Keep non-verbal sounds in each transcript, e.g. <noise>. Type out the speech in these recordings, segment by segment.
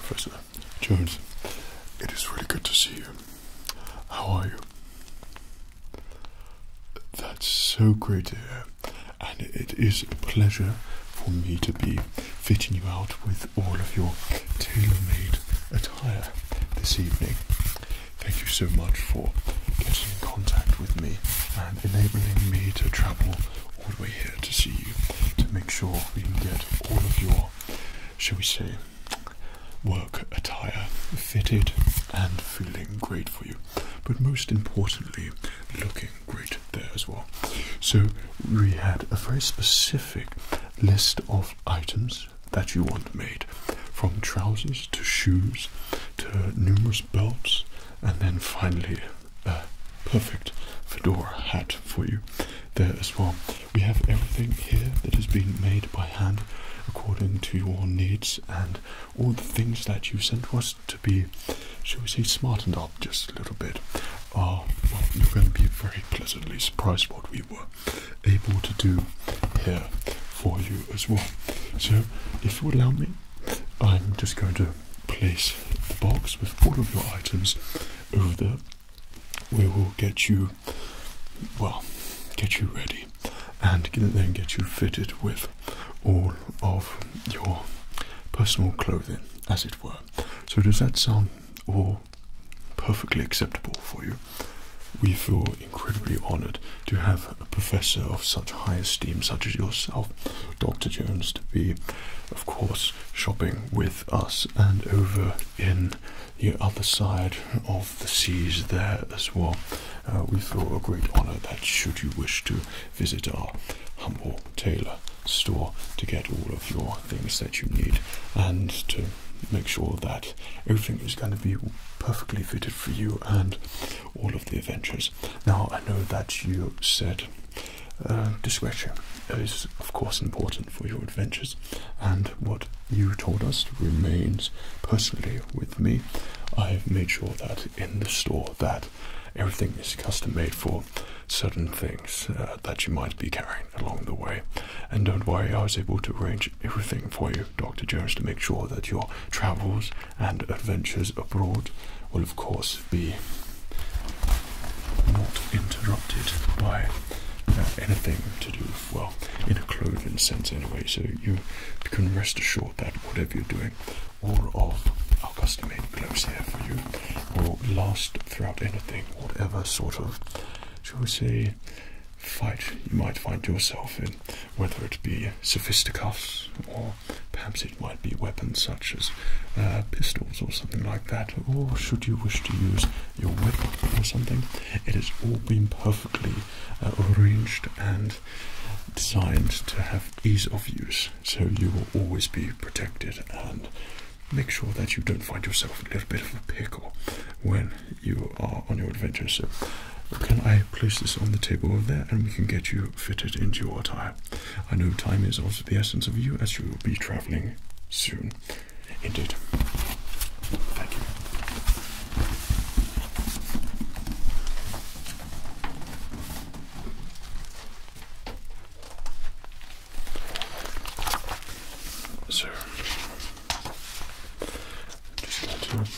Professor Jones, it is really good to see you. How are you? That's so great to hear and it is a pleasure for me to be fitting you out with all of your tailor-made attire this evening. Thank you so much for getting in contact with me and enabling me to travel all the way here to see you to make sure we can get all of your, shall we say, work attire fitted and feeling great for you, but most importantly, looking great there as well. So we had a very specific list of items that you want made from trousers to shoes to numerous belts and then finally a perfect fedora hat for you there as well. We have everything here that has been made by hand according to your needs and all the things that you sent us to be, shall we say, smartened up just a little bit. Oh, you're going to be very pleasantly surprised what we were able to do here for you as well. So, if you would allow me, I'm just going to place the box with all of your items over there. We will get you, well, get you ready and then get you fitted with all of your personal clothing, as it were. So, does that sound all perfectly acceptable for you? We feel incredibly honoured to have a professor of such high esteem, such as yourself, Dr. Jones, to be, of course, shopping with us and over in the other side of the seas there as well. Uh, we feel a great honour that should you wish to visit our humble tailor store to get all of your things that you need and to make sure that everything is going to be perfectly fitted for you and all of the adventures. Now, I know that you said uh, discretion is, of course, important for your adventures, and what you told us remains personally with me. I've made sure that in the store that everything is custom made for certain things uh, that you might be carrying along the way. And don't worry, I was able to arrange everything for you, Dr. Jones, to make sure that your travels and adventures abroad will, of course, be not interrupted by uh, anything to do, well, in a clothing sense anyway. So you can rest assured that whatever you're doing all of our custom made gloves here for you will last throughout anything, whatever sort of, shall we say, fight you might find yourself in, whether it be sophisticuffs or perhaps it might be weapons such as uh, pistols or something like that, or should you wish to use your whip or something, it has all been perfectly uh, arranged and designed to have ease of use so you will always be protected and make sure that you don't find yourself a little bit of a pickle when you are on your adventure. So, can I place this on the table over there and we can get you fitted into your attire? I know time is also the essence of you as you will be traveling soon. Indeed. Thank you. So just going to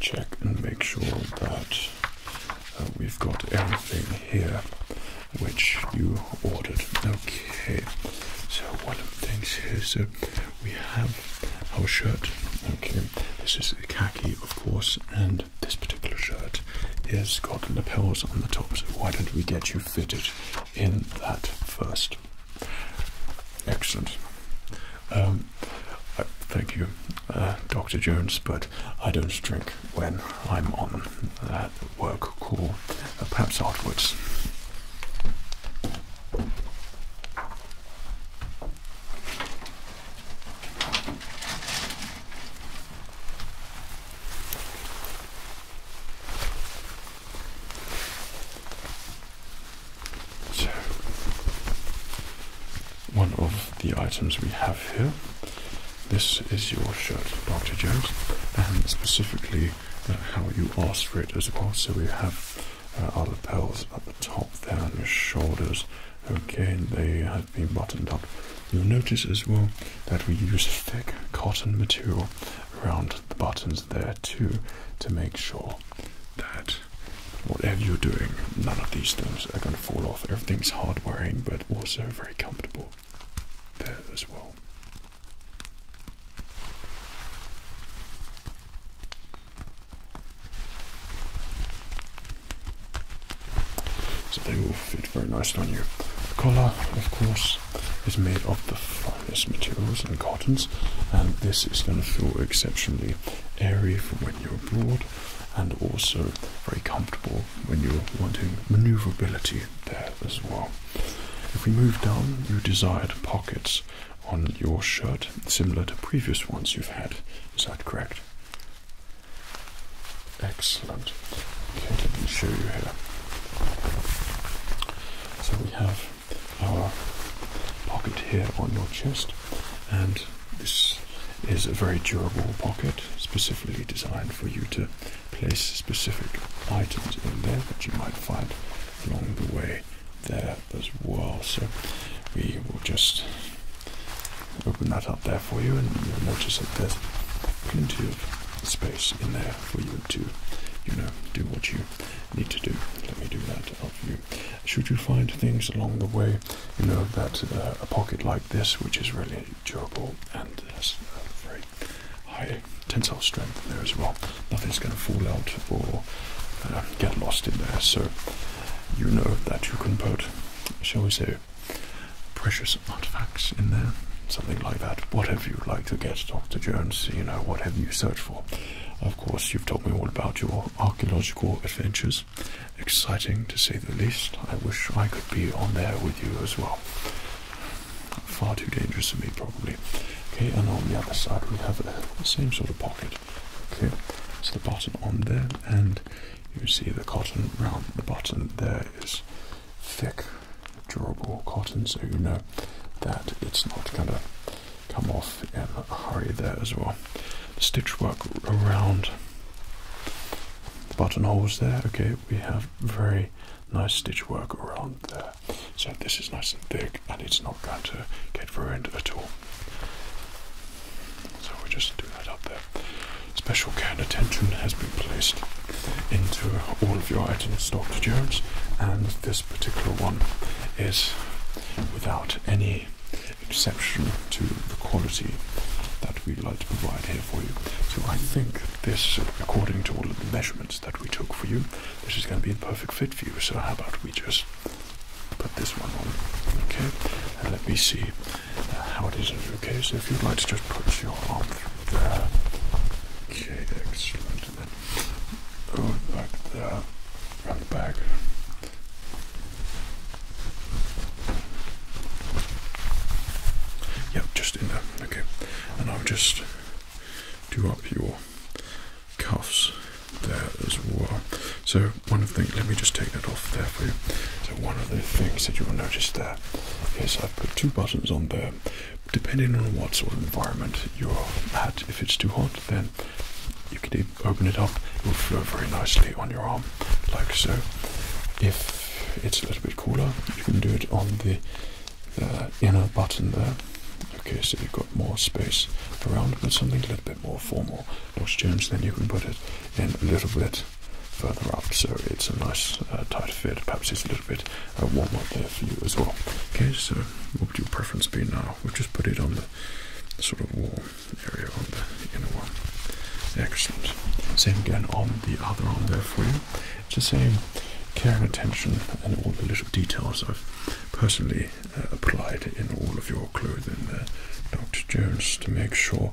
check and make sure that uh, we've got everything here which you ordered. Okay. So one of the things here, so we have our shirt. Okay, this is khaki, of course, and this particular shirt has got lapels on the top, so why don't we get you fitted in that first? Excellent. Um, thank you, uh, Dr. Jones, but I don't drink when I'm on that work call, uh, perhaps afterwards. So, one of the items we have here. This is your shirt, Dr. Jones, and specifically uh, how you asked for it as well. So we have uh, our lapels at the top there on your shoulders. Okay, they have buttoned up. You'll notice as well that we use thick cotton material around the buttons there too to make sure that whatever you're doing, none of these things are going to fall off. Everything's hardwearing but also very comfortable there as well. So they will fit very nicely on you. The collar, of course, is made of the finest materials and cottons, and this is going to feel exceptionally airy for when you're abroad, and also very comfortable when you're wanting maneuverability there as well. If we move down, you desired pockets on your shirt, similar to previous ones you've had. Is that correct? Excellent. Okay, let me show you here. So we have our pocket here on your chest, and this is a very durable pocket, specifically designed for you to place specific items in there that you might find along the way there as well. So we will just open that up there for you and you'll notice that there's plenty of space in there for you to, you know, do what you need to do. Let me do that for you. Should you find things along the way, you know, that uh, a pocket like this, which is really durable and has a very high tensile strength there as well, nothing's going to fall out or uh, get lost in there. So you know that you can put, shall we say, precious artifacts in there, something like that. Whatever you'd like to get, Dr. Jones, you know, whatever you search for. Of course, you've told me all about your archaeological adventures. Exciting to say the least. I wish I could be on there with you as well. Far too dangerous for me, probably. Okay, and on the other side, we have the same sort of pocket. Okay, so the button on there, and you see the cotton round the button there is thick, durable cotton, so you know that it's not going to come off in a hurry there as well. stitch work around buttonholes there, okay, we have very nice stitch work around there. So this is nice and thick and it's not going to get ruined at all. So we just do that up there. Special care and attention has been placed into all of your items, Dr. Jones, and this particular one is without any exception to the quality that we'd like to provide here for you. So I think this, according to all of the measurements that we took for you, this is going to be a perfect fit for you. So how about we just put this one on, okay? let me see how uh, it is. Okay, so if you'd like to just put your arm through there. Okay, excellent. And then oh, back there, round the back. Yep, just in there. Okay, and I'll just do up your cuffs there as well. So one of the things, let me just take that off there for you. So one of the things that you will notice there there is I've put two buttons on there depending on what sort of environment you're at. If it's too hot, then you can open it up, it will flow very nicely on your arm, like so. If it's a little bit cooler, you can do it on the, the uh, inner button there. Okay, so you've got more space around, but something a little bit more formal, Dr. James. Then you can put it in a little bit further up, so it's a nice uh, tight fit. Perhaps it's a little bit uh, warm there for you as well. Okay, so what would your preference be now? We'll just put it on the, sort of warm area on the inner one. Excellent. Same again on the other arm there for you. It's the same care and attention and all the little details I've personally uh, applied in all of your clothing Dr. Jones, to make sure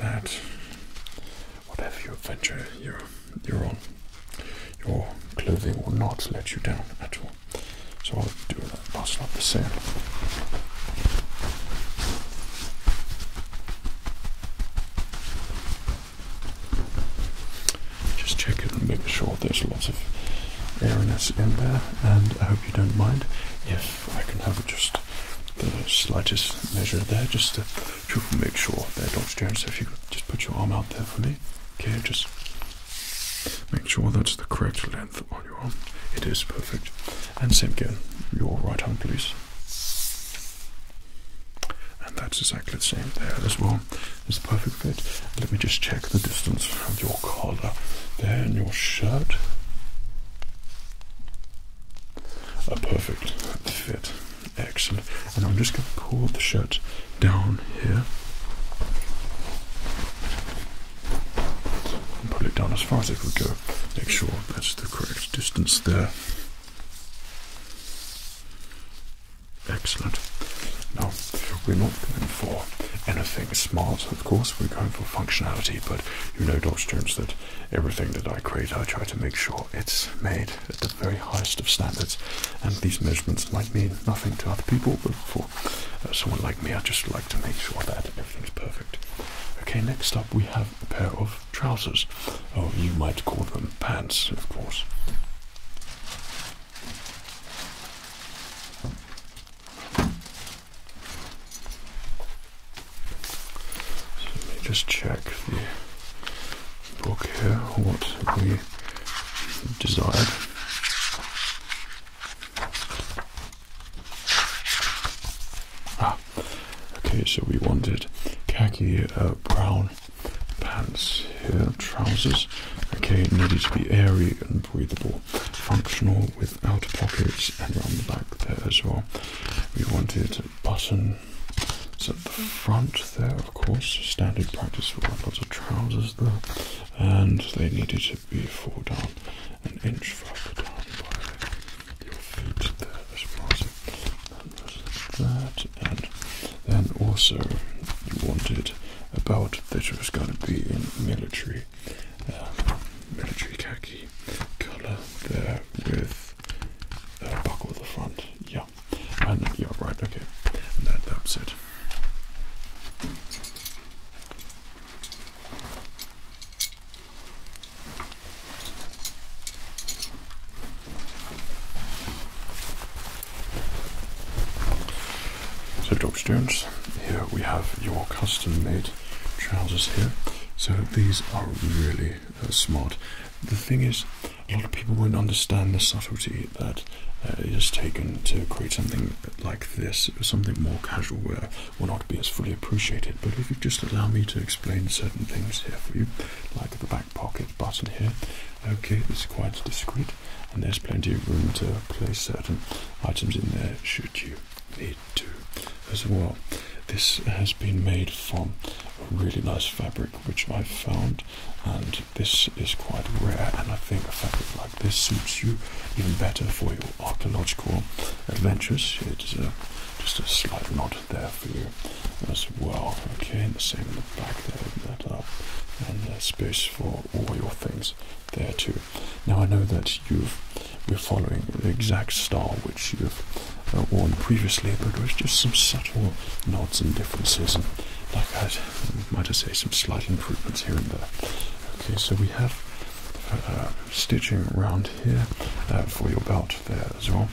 that whatever your adventure, you're, you're on, your clothing will not let you down at all. So I'll do that. That's not the same. Just check it and make sure there's lots of airiness in there, and I hope you don't mind if I can have just the slightest measure there, just to just make sure they're downstairs. So if you just put your arm out there for me, okay? Just make sure that's the correct length on your arm. It is perfect. And same again, your right arm, please. And that's exactly the same there as well. It's a perfect fit. Let me just check the distance of your collar there in your shirt a perfect fit excellent. And I'm just going to pull the shirt down here and pull it down as far as it would go. Make sure that's the correct distance there. Excellent. Now, we're not going for anything smart, of course, we're going for functionality, but you know, Dr. Jones, that everything that I create, I try to make sure it's made at the very highest of standards. And these measurements might mean nothing to other people, but for uh, someone like me, I just like to make sure that everything's perfect. Okay, next up we have a pair of trousers. Oh, you might call them pants, of course let me just check the book here, what we desired. Ah, okay, so we wanted khaki uh, brown pants here, trousers. Okay, needed to be airy and breathable, functional with outer pockets and around the back there as well. We wanted button so at the front there, of course, standard practice for lots of trousers there, and they needed to be four down, an inch further down by your feet there as well. as that, and then also you wanted about that was going to be in military, uh, military khaki colour there with uh, of the front. Yeah, and yeah, right. Okay, that that's it. So, Dr. Jones, here we have your custom made trousers here. So, these are really uh, smart the thing is, a lot of people won't understand the subtlety that uh, is taken to create something like this, something more casual where will not be as fully appreciated. But if you just allow me to explain certain things here for you, like the back pocket button here, okay, it's quite discreet, and there's plenty of room to place certain items in there should you need to as well. This has been made from a really nice fabric which I found, and this is quite rare. And I think a fabric like this suits you even better for your archaeological adventures. It's just a slight nod there for you as well. Okay, and the same in the back there, open that up, and uh, space for all your things there too. Now I know that you've been following the exact style which you've uh, previously, but it was just some subtle nods and differences, and like I might I say, some slight improvements here and there. Okay, so we have uh, uh, stitching around here uh, for your belt there as well.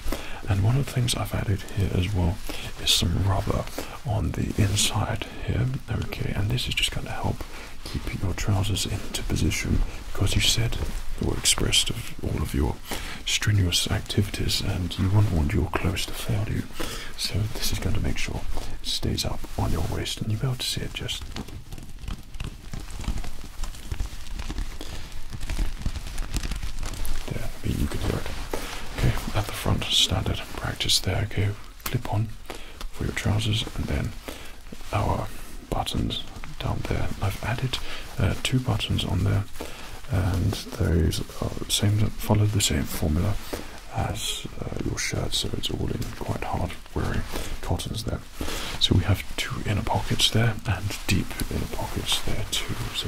And one of the things I've added here as well is some rubber on the inside here. Okay, and this is just going to help keep your trousers into position because you said or expressed of all of your strenuous activities and you wouldn't want your clothes to fail you. So this is going to make sure it stays up on your waist and you'll be able to see it just there, you can hear it. Okay, at the front, standard practice there, okay, clip on for your trousers and then our buttons down there. I've added uh, two buttons on there and those are same follow the same formula as uh, your shirt, so it's all in quite hard wearing cottons there. So we have two inner pockets there and deep inner pockets there too. So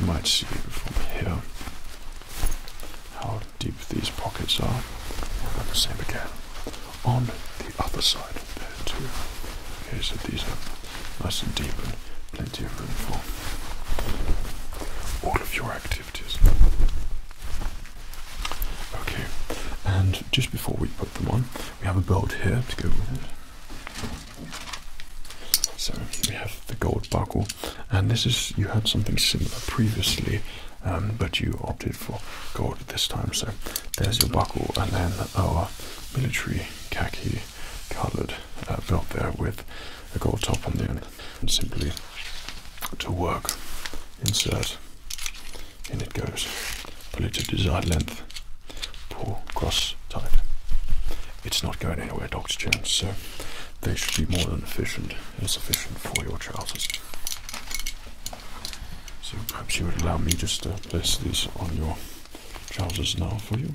you might see from here how deep these pockets are. And the same again on the other side. Okay, so these are nice and deep and plenty of room for all of your activities. Okay, and just before we put them on, we have a belt here to go with it. So we have the gold buckle, and this is you had something similar previously. Um, but you opted for gold this time, so there's your buckle, and then our military khaki coloured belt uh, there with a gold top on the end. And simply to work, insert, in it goes. Pull it to desired length, pull, cross, tie. It's not going anywhere, Dr. Jones, so they should be more than efficient sufficient for your trousers. So perhaps you would allow me just to place these on your trousers now for you.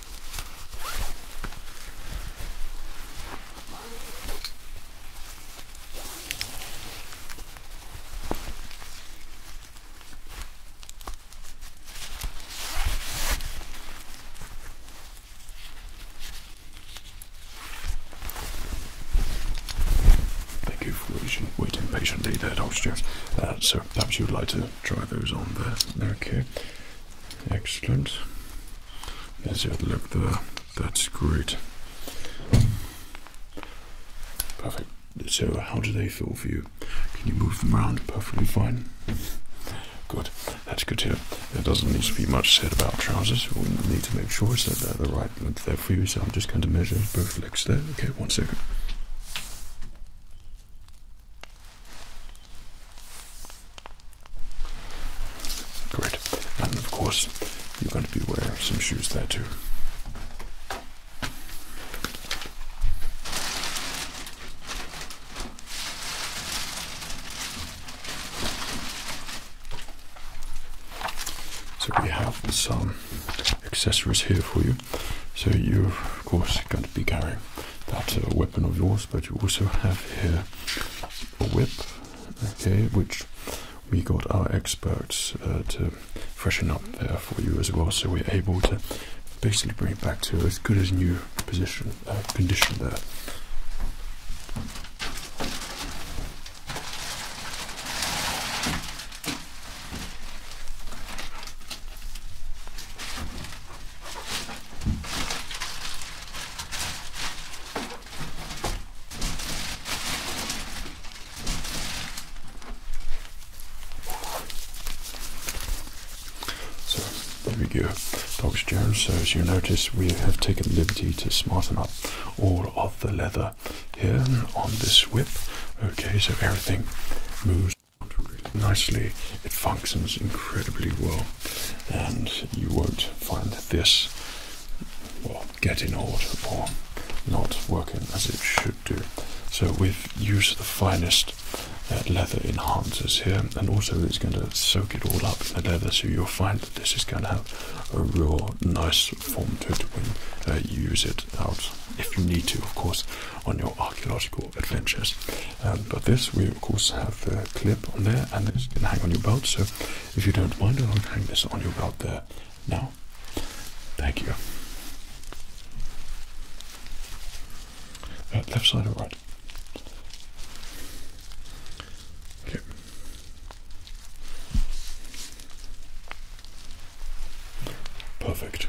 Thank you for waiting, patiently there, Doctor. Uh, so perhaps you'd like to try those on there. Okay. Excellent. There's your look there. That's great. Perfect. So, how do they feel for you? Can you move them around perfectly fine? Good. That's good to There doesn't need to be much said about trousers. We need to make sure it's the right length there for you. So, I'm just going to measure both legs there. Okay, one second. Great. And of course, you're going to be wearing some shoes there too. So we have some accessories here for you. So you're of course going to be carrying that uh, weapon of yours but you also have here a whip, okay, which we got our experts uh, to freshen up there for you as well, so we're able to basically bring it back to as good as new position uh, condition there. So there we go, Dr. Jones. So as you notice, we have taken liberty to smarten up all of the leather here on this whip. Okay, so everything moves nicely. It functions incredibly well and you won't find this getting old or not working as it should do. So we've used the finest uh, leather enhancers here, and also it's going to soak it all up in the leather. So you'll find that this is going to have a real nice form to it when uh, you use it out, if you need to, of course, on your archaeological adventures but this, we of course have the clip on there, and this can hang on your belt. So, if you don't mind, I'll hang this on your belt there now. Thank you. left side or right? Okay. Perfect.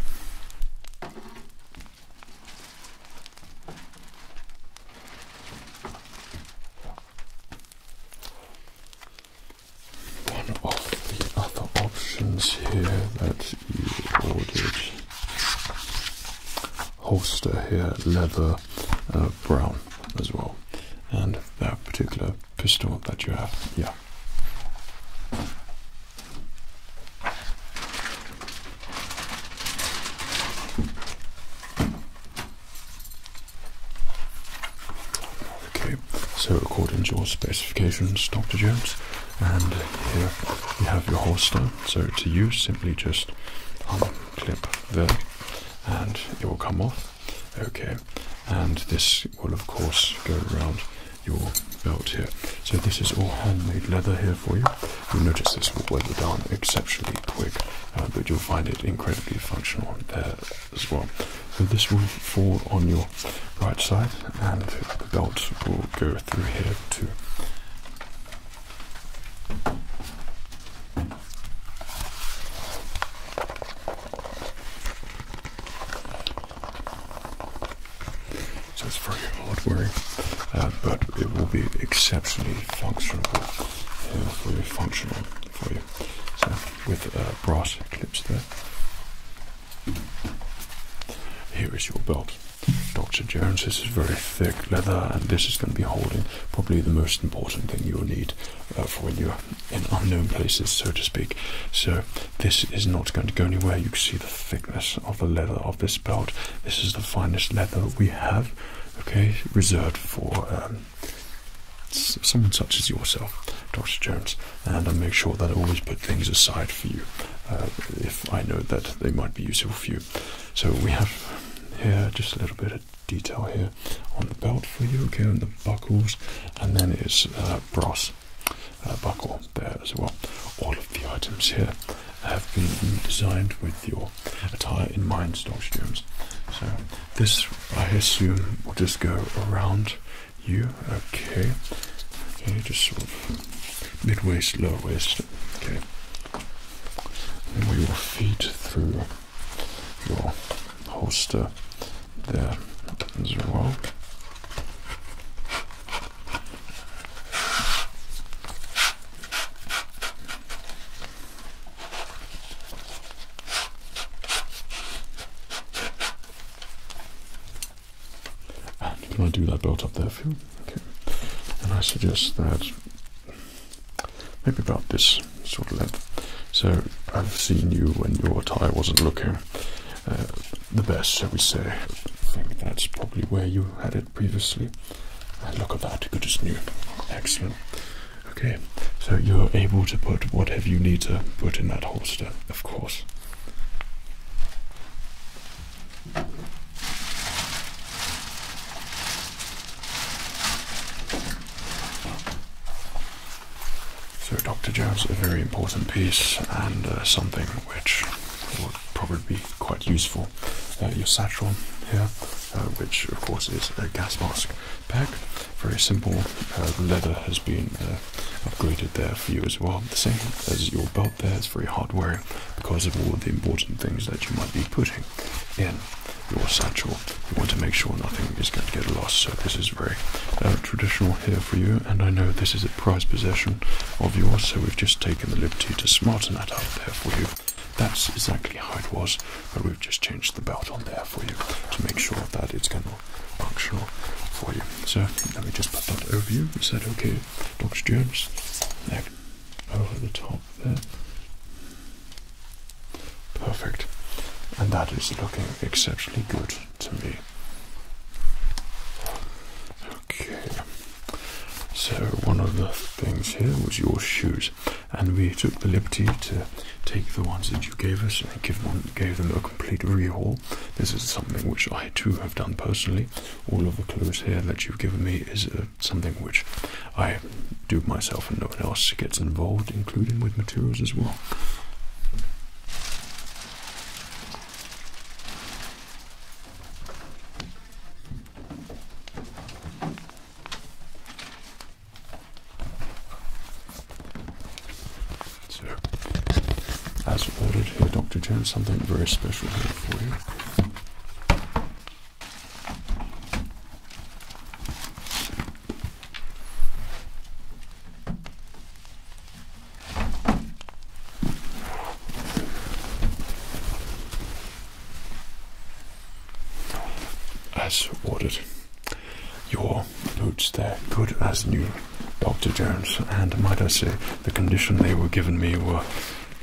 One of the other options here that you ordered holster here, leather uh, brown as well, and that particular pistol that you have, yeah. Okay, so according to your specifications, Dr. Jones, and here you have your holster. So to use, simply just unclip um, there and it will come off. Okay, and this will, of course, go around your belt here. So this is all handmade leather here for you. You'll notice this will blend it down exceptionally quick, uh, but you'll find it incredibly functional there as well. So this will fall on your right side, and the belt will go through here too. Just for your old worry. Uh, but it will be exceptionally functional, very functional for you. So with uh, brass clips there. Here is your belt. Dr. Jones, this is very thick leather, and this is going to be holding probably the most important thing you'll need uh, for when you're in unknown places, so to speak. So, this is not going to go anywhere. You see the thickness of the leather this belt. This is the finest leather we have, okay, reserved for um, someone such as yourself, Dr. Jones. And I make sure that I always put things aside for you uh, if I know that they might be useful for you. So we have here just a little bit of detail here on the belt for you, okay, on the buckles, and then it's uh, brass. Uh, buckle there as well. All of the items here have been designed with your attire in mind, Dr. Jones. So this, I assume, will just go around you. Okay. Okay, just sort of mid waist, low waist. Okay. And we will feed through your holster there as well can I do that belt up there for you? Okay. And I suggest that maybe about this sort of length. So I've seen you when your tie wasn't looking uh, the best, shall we say. I think that's probably where you had it previously. And look at that, good as new. Excellent. Okay, so you're able to put whatever you need to put in that holster, of course. So, Dr. Jones, a very important piece and uh, something which would probably be quite useful. Uh, your satchel here uh, which of course is a gas mask pack. Very simple. Uh, leather has been uh, upgraded there for you as well. The same as your belt there. It's very hard wearing because of all the important things that you might be putting in your satchel. You want to make sure nothing is going to get lost. So this is very traditional here for you. And I know this is a prized possession of yours. So we've just taken the liberty to smarten that up there for you. That's exactly how it was, but we've just changed the belt on there for you to make sure that it's gonna of functional for you. So let me just put that over you. Is that okay, Dr. Jones? There. Over the top there. Perfect. And that is looking exceptionally good to me. Okay. So one of the things here was your shoes and we took the liberty to take the ones that you gave us and give them, gave them a complete rehaul. This is something which I too have done personally. All of the clues here that you've given me is uh, something which I do myself and no one else gets involved, including with materials as well. So, as ordered here, Dr. Jones, something very special here for you. As ordered. Your boots, there, good as new, Dr. Jones, and might I say, the condition they were given me were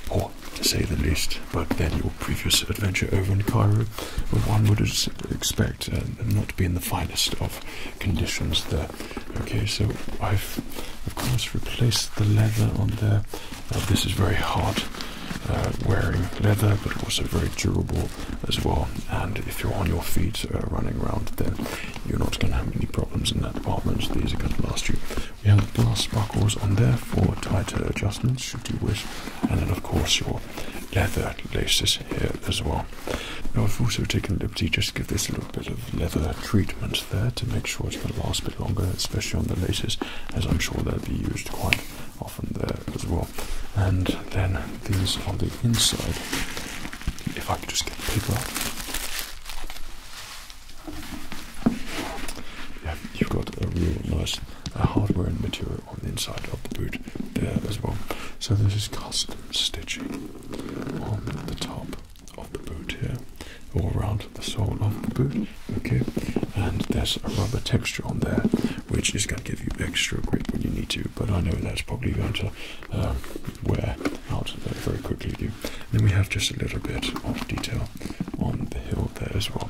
poor, to say the least. But then your previous adventure over in Cairo, one would expect uh, not be in the finest of conditions there. Okay, so I've, of course, replaced the leather on there uh, this is very hard uh, wearing leather, but also very durable as well. And if you're on your feet uh, running around, then you're not going to have any problems in that department. these are going to last you. We have the glass buckles on there for tighter adjustments, should you wish, and then of course your leather laces here as well. Now I've also taken the liberty just to give this a little bit of leather treatment there to make sure it's going to last a bit longer, especially on the laces, as I'm sure they'll be used quite often there as well. And then these on the inside. If I could just get the paper out. Yeah, you've got a real nice uh, hardware and material on the inside of the boot there as well. So this is custom stitching on the top of the boot here, all around the sole of the boot. Okay, and there's a rubber texture on there, which is going to give you extra grip when you need to. But I know that's probably going to um, wear out very quickly. You. Then we have just a little bit of detail on the heel there as well.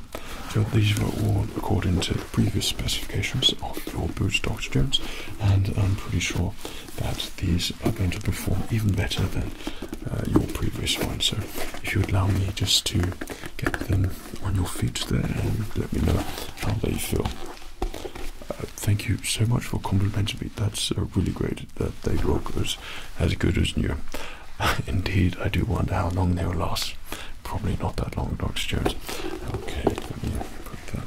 So these were all according to previous specifications of your boots, Dr. Jones, and I'm pretty sure that these are going to perform even better than uh, your previous ones. So if you would allow me just to get them on your feet there and let me know how they feel. Uh, thank you so much for complimenting me. That's uh, really great that they look as, good as new. <laughs> Indeed, I do wonder how long they will last. Probably not that long, Dr. Jones. Okay, put that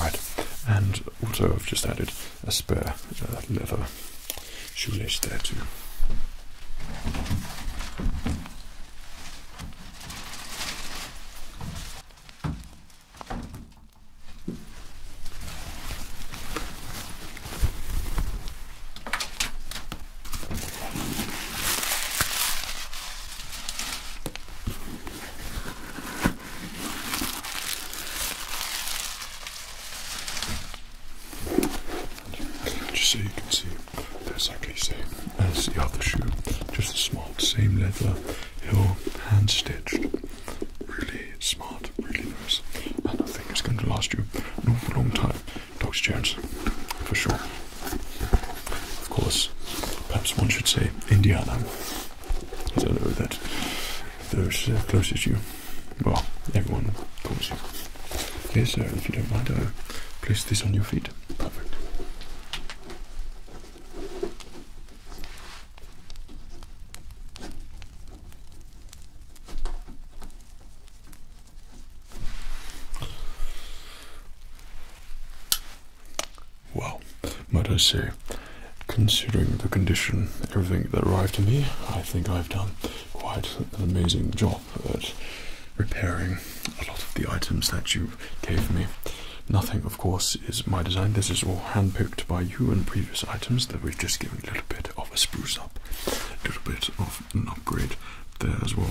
Right, and also I've just added a spare uh, leather shoelace there too. Just so you can see, they're exactly the same the other shoe, just the smart, same leather, heel, hand stitched. Really smart, really nice, and I think it's going to last you an awful long time. Doctor Jones, for sure. Of course, perhaps one should say Indiana. I don't know that those uh, closest you, well, everyone calls you. Okay, so if you don't mind, I'll place this on your feet. Perfect. Well, might I say, considering the condition, everything that arrived to me, I think I've done quite an amazing job at repairing a lot of the items that you gave me. Nothing, of course, is my design. This is all handpicked by you and previous items that we've just given a little bit of a spruce up, a little bit of an upgrade there as well.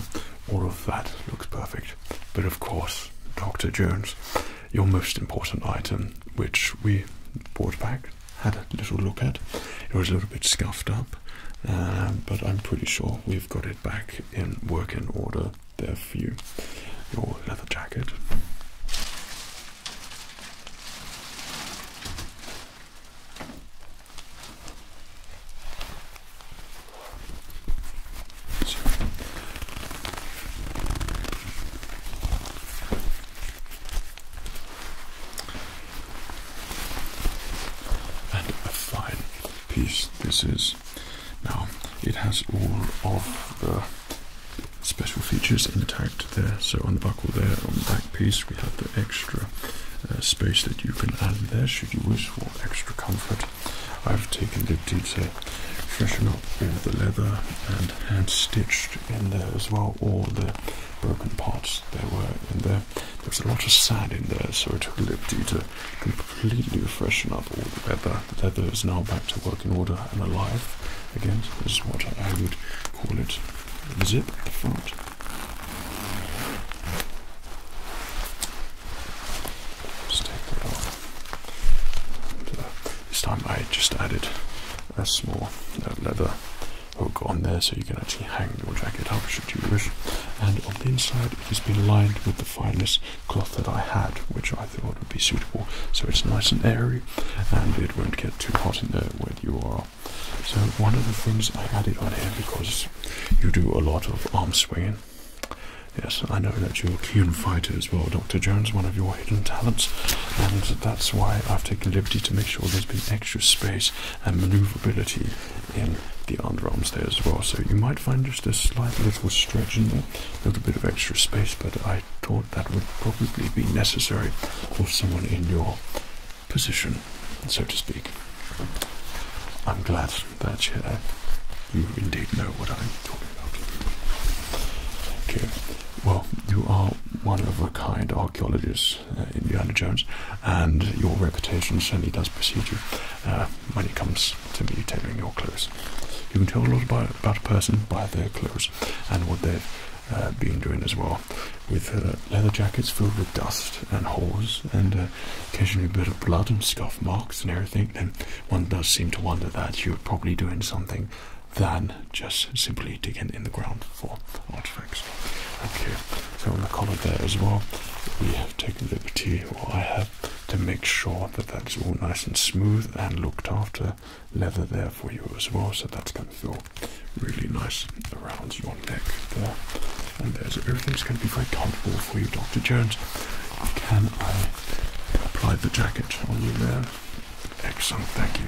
All of that looks perfect. But of course, Dr. Jones, your most important item, which we brought back, had a little look at. It was a little bit scuffed up, uh, but I'm pretty sure we've got it back in working order there for you. Your leather jacket. And a fine piece this is. Now it has all of the special features intact there. So on the buckle there, on the back piece, we have the extra uh, space that you can add there should you wish for extra comfort. I've taken the detail freshen up all the leather and hand stitched in there as well all the broken parts there were in there. There was a lot of sand in there, so I took a lip dye to completely freshen up all the leather. The leather is now back to working order and alive again. this is what I would call it. Zip at the front just take that off. This time I just added a small leather hook on there so you can actually hang your jacket up should you wish. And on the inside it has been lined with the finest cloth that I had, which I thought would be suitable so it's nice and airy and it won't get too hot in there when you are. So one of the things I added on here because you do a lot of arm swinging. Yes, I know that you're a keen fighter as well, Dr. Jones, one of your hidden talents, and that's why I've taken liberty to make sure there's been extra space and maneuverability in the underarms there as well. So you might find just a slight little stretch in there, a little bit of extra space, but I thought that would probably be necessary for someone in your position, so to speak. I'm glad that uh, you indeed know what I'm talking about. Thank you. Well, you are one of a kind archaeologist, uh, Indiana Jones, and your reputation certainly does precede you uh, when it comes to me tailoring your clothes. You can tell a lot about, a person by their clothes and what they've uh, been doing as well, with leather jackets filled with dust and holes and uh, occasionally a bit of blood and scuff marks and everything, then one does seem to wonder that you're probably doing something than just simply digging in the ground for artifacts. Okay, so on the collar there as well, we have taken liberty, or I have, to make sure that that's all nice and smooth and looked after. Leather there for you as well, so that's going to feel really nice around you one there, and there. everything's going to be very comfortable for you, Dr. Jones. Can I apply the jacket on you there? Excellent, thank you.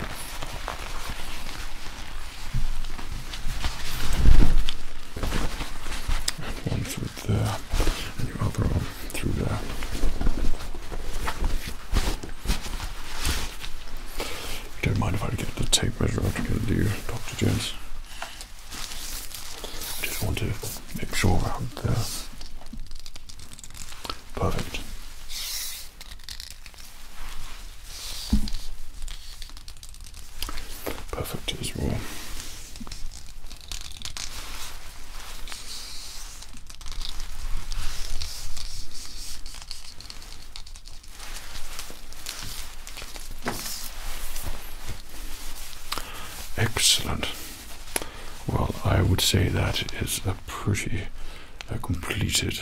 One through there, and your other arm through there. Don't mind if I get the tape measure out to do, Dr. Jones. I just want to make sure around there. Uh, perfect. Perfect as well. Excellent. Well, I would say that is a pretty uh, completed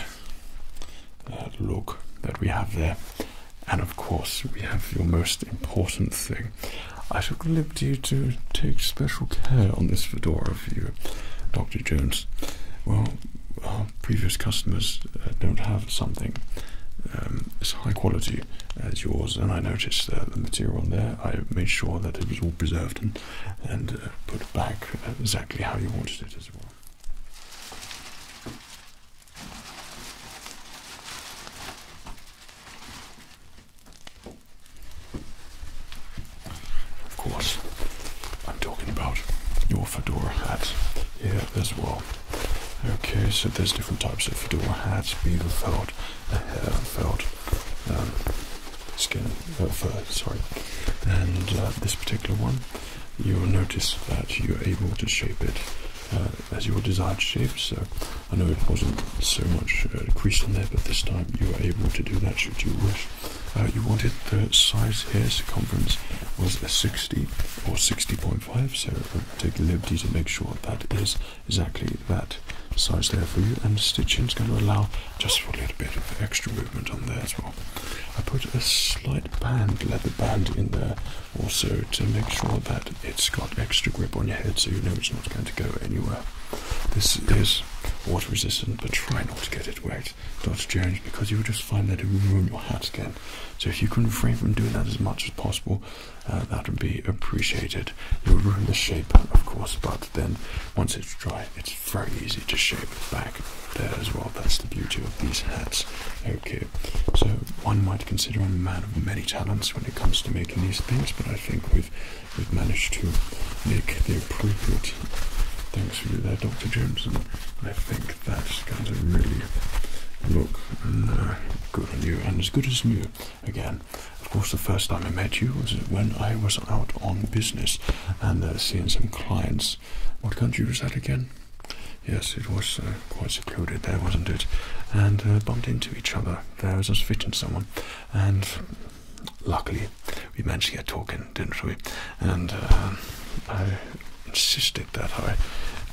look that we have there. And of course, we have your most important thing. I took the you to take special care on this fedora for you, Dr. Jones. Well, our previous customers uh, don't have something um, as high quality as yours. And I noticed uh, the material on there. I made sure that it was all preserved and, uh, put back exactly how you wanted it as well. Of course, I'm talking about your fedora hat here as well. Okay, so there's different types of fedora hats, beaver felt, a hair felt, um, skin, uh, fur, sorry. And uh, this particular one, you'll notice that you're able to shape it uh, as your desired shape. So I know it wasn't so much uh, creased on there, but this time you were able to do that should you wish. Uh, you wanted the size here, circumference was a 60 or 60.5, so um, take the liberty to make sure that is exactly that size there for you and the stitching is going to allow just for a little bit of extra movement on there as well. I put a slight band, leather band in there also to make sure that it's got extra grip on your head so you know it's not going to go anywhere. This is water resistant but try not to get it wet, Dr. Jones, because you'll just find that it will ruin your hat again. So if you can refrain from doing that as much as possible, uh, that would be appreciated. It would ruin the shape, of course, but then once it's dry, it's very easy to shape it back there as well. That's the beauty of these hats. Okay, so one might consider i a man of many talents when it comes to making these things, but I think we've we've managed to make the appropriate Thanks for you there, Dr. Jones, I think that's going to really look Good on you, and as good as new again. Of course, the first time I met you was when I was out on business and uh, seeing some clients. What country was that again? Yes, it was uh, quite secluded there, wasn't it? And uh, bumped into each other there was a fit fitting someone, and luckily we managed to get talking, didn't we? And uh, I insisted that I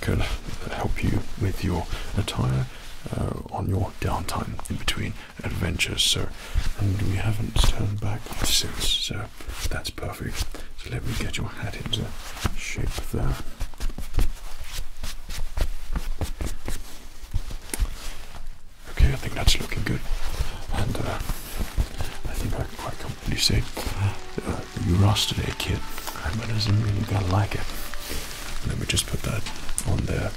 could help you with your attire uh, on your downtime in between adventures. So, and we haven't turned back since, so that's perfect. So let me get your hat into shape there. Okay, I think that's looking good, and uh, I think I can quite comfortably say you're ross today, eh, kid. That doesn't mean you are going to like it. Let me just put that on there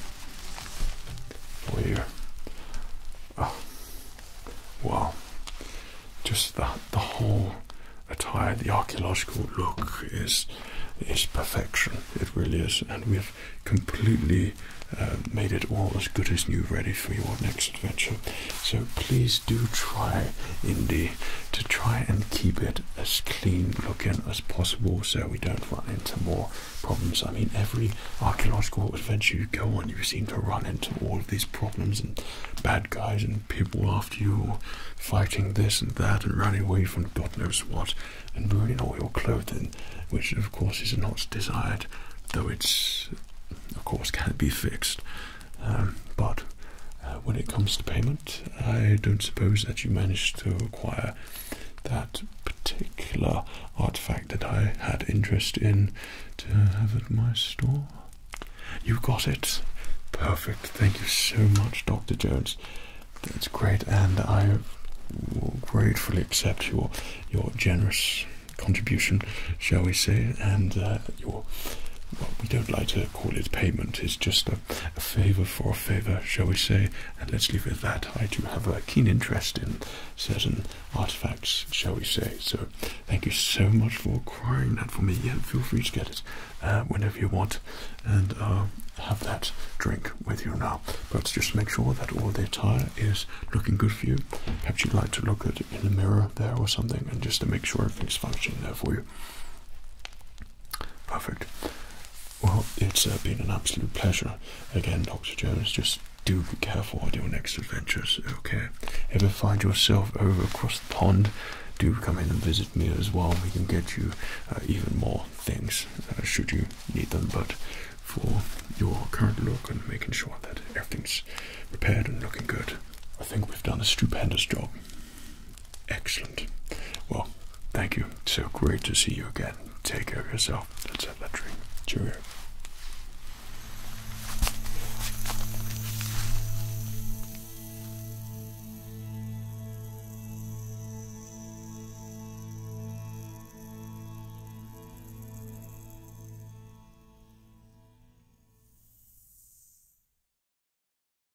for you. Oh. wow. Just the, the whole attire, the archaeological look is is perfection. It really is, and we've completely uh, made it all as good as new, ready for your next adventure. So please do try Indy to try and keep it as clean looking as possible so we don't run into more problems. I mean, every archaeological adventure you go on, you seem to run into all of these problems and bad guys and people after you fighting this and that and running away from God knows what and ruining all your clothing, which of course is not desired, though it's of course can be fixed. Um, but uh, when it comes to payment, I don't suppose that you managed to acquire that particular artifact that I had interest in to have at my store. You got it. Perfect. Thank you so much, Dr. Jones. That's great, and I will gratefully accept your your generous contribution, shall we say, and uh, your. we don't like to call it payment. It's just a, favor for a favor, shall we say? And let's leave it at that. I do have a keen interest in certain artifacts, shall we say? So thank you so much for acquiring that for me. Yeah, feel free to get it uh, whenever you want, and uh, have that drink with you now. But just make sure that all the attire is looking good for you. Perhaps you'd like to look at in the mirror there or something, and just to make sure everything's functioning there for you. Perfect. Well, it's uh, been an absolute pleasure. Again, Dr. Jones, just do be careful on your next adventures, okay? If you find yourself over across the pond, do come in and visit me as well. We can get you uh, even more things uh, should you need them, but for your current look and making sure that everything's repaired and looking good, I think we've done a stupendous job. Excellent. Well, thank you. so great to see you again. Take care of yourself. Let's have that drink. Cheerio.